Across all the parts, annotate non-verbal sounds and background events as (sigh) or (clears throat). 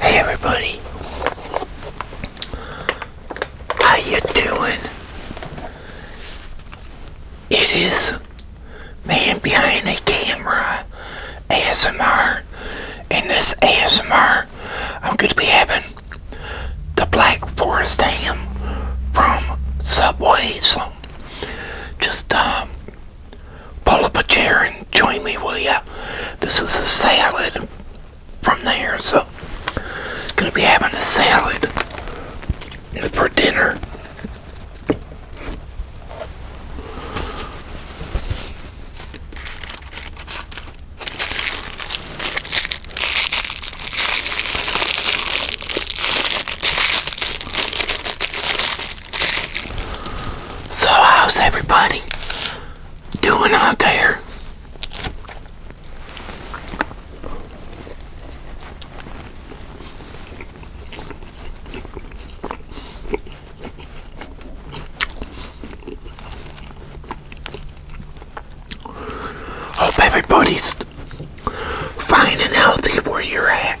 Hey everybody, how you doing? It is man behind the camera ASMR. and this ASMR, I'm going to be having the Black Forest ham from Subway. So just um, Pull up a chair and join me, will ya? This is a salad from there, so gonna be having a salad for dinner. So, how's everybody doing out there? Hope everybody's fine and healthy where you're at.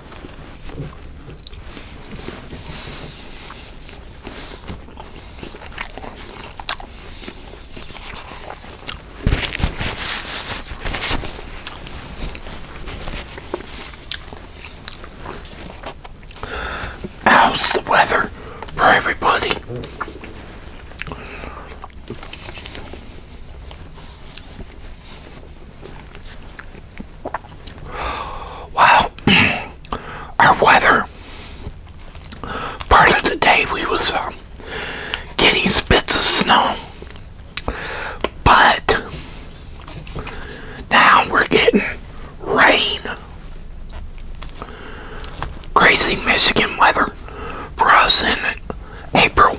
How's the weather for everybody? Wow, our weather part of the day we was um, getting spits of snow, but now we're getting rain. Crazy Michigan weather for us in April.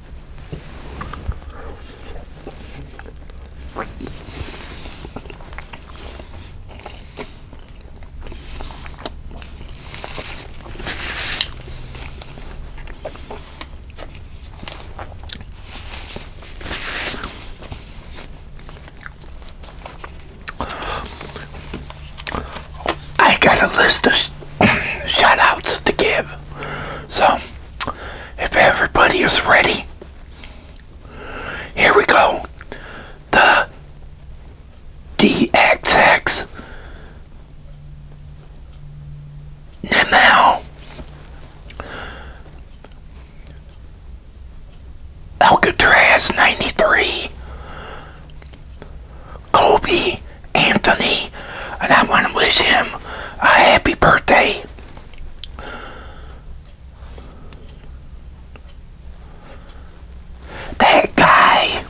I got a list of (clears throat) shout outs to give. So if everybody is ready, here we go. The DXX Nimel Alcatraz 93 Kobe Anthony and I want to wish him a happy birthday. That guy,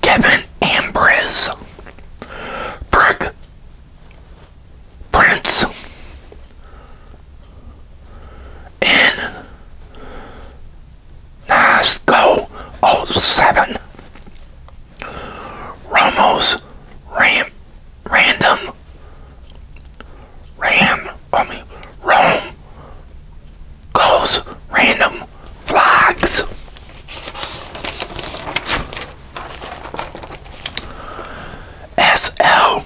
Kevin Ambrose, Brick Prince, and Nasco 07. Ramos, Ram Random Ram I mean Rome Goes Random Vlogs. SL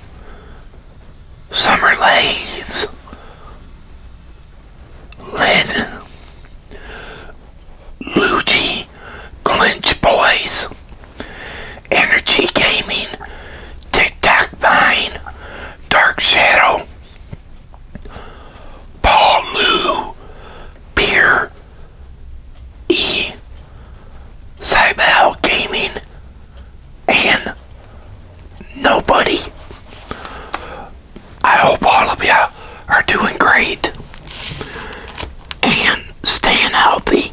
Summer Lays Lid Luigi Glinch Boys, Energy Gaming, TikTok Vine, Dark Shadow, Paul Lou, Beer, E, Cybel Gaming, and nobody. I hope all of you are doing great and staying healthy.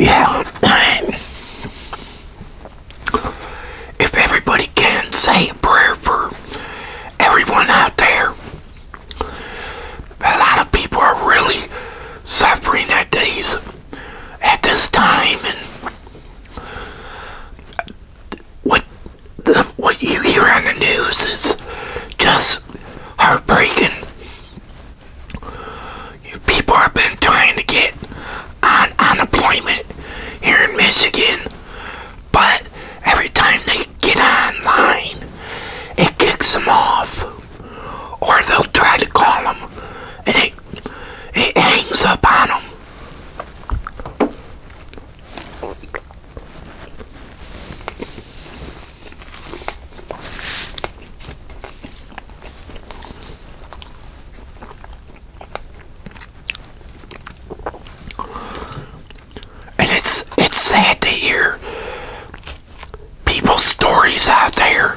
Yeah. if everybody can say a prayer for everyone out there a lot of people are really suffering at these at this time and what the, what you hear on the news is just heartbreaking. People have been trying to get on unemployment here in Michigan, but every time they get online, it kicks them off or they'll try to call him and it, it hangs up on him. And it's it's sad to hear people's stories out there.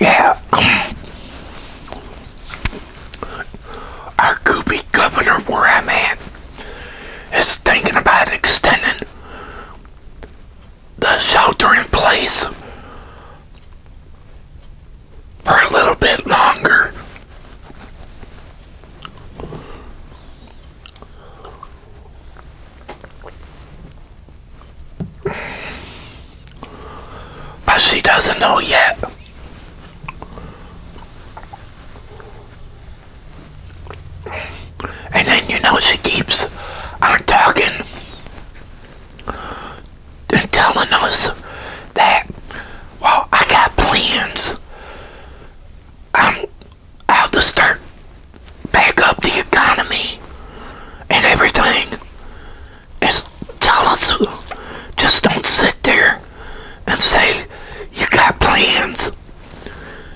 Yeah. Our goopy governor where I'm at is thinking about extending the shelter in place for a little bit longer. But she doesn't know yet. And then you know she keeps on talking and telling us that well I got plans. i have to start back up the economy and everything. Is tell us just don't sit there and say you got plans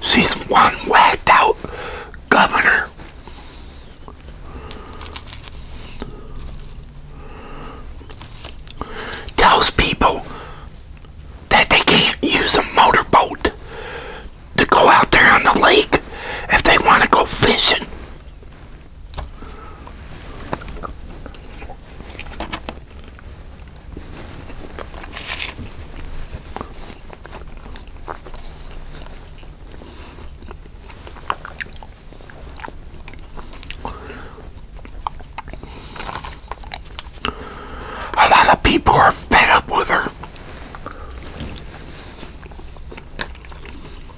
She's one whacked out governor. Tells people that they can't use a motorboat to go out there on the lake if they want to go fishing. A lot of people are fed up with her.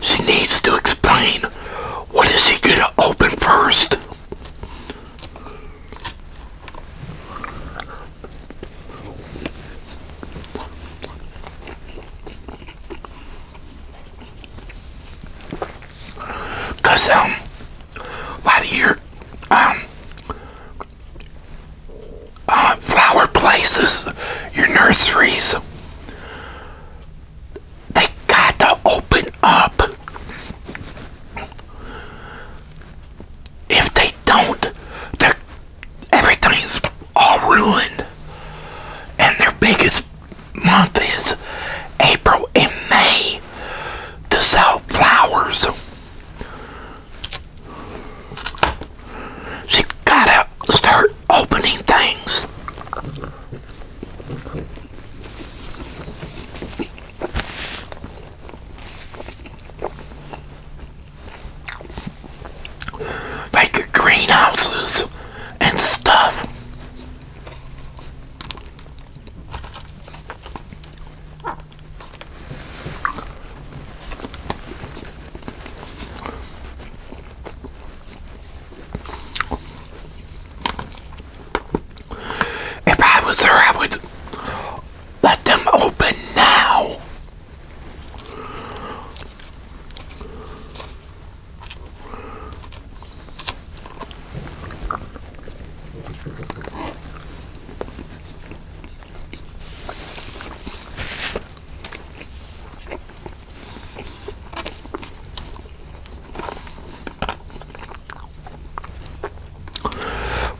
She needs to explain what is he going to open first. um, about a um, uh, flower places, your nurseries, they got to open up. If they don't, everything's all ruined. And their biggest month is April and May to sell flowers. She gotta start opening things. Like greenhouses and stuff. If I was her, I would let them open now.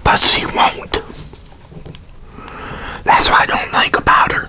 But she won't. That's what I don't like about her.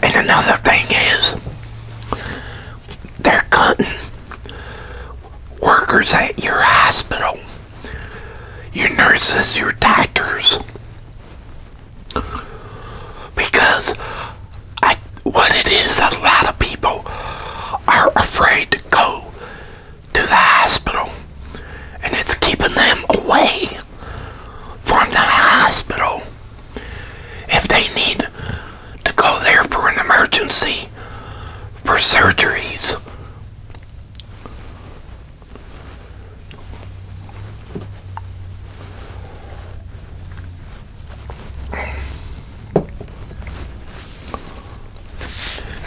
And another thing is, they're cutting workers at your hospital your nurses, your doctors. Because I, what it is, a lot of people are afraid to go to the hospital, and it's keeping them away from the hospital if they need to go there for an emergency for surgeries.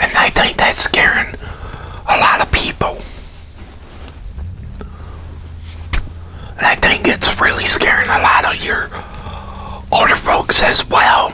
And I think that's scaring a lot of people. I think it's really scaring a lot of your older folks as well.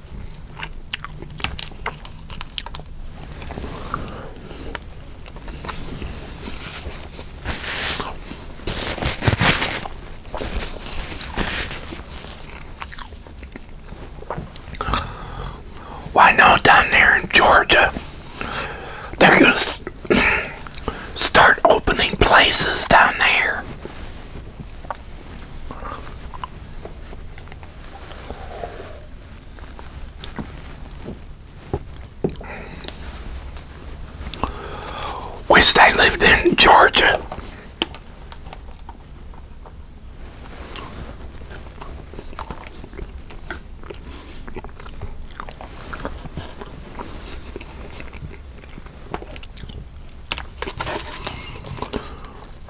Why not down there in Georgia? They're gonna (clears throat) start opening places down there. Wish they lived in Georgia.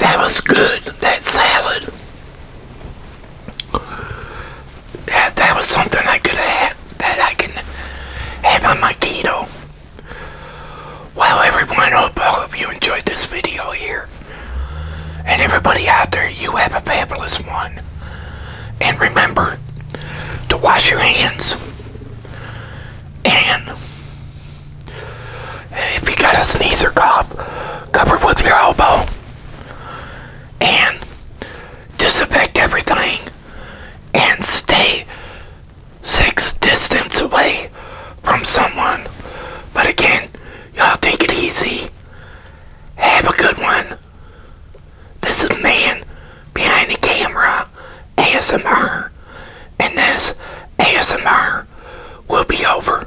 that was good, that salad that, that was something I could have that I can have on my keto. Well everyone, I hope all of you enjoyed this video here. And everybody out there, you have a fabulous one. And remember to wash your hands. And if you got a sneezer, or cover with your elbow and disinfect everything and stay six distance away from someone. But again, y'all take it easy. Have a good one. This is Man Behind the Camera ASMR, and this ASMR will be over.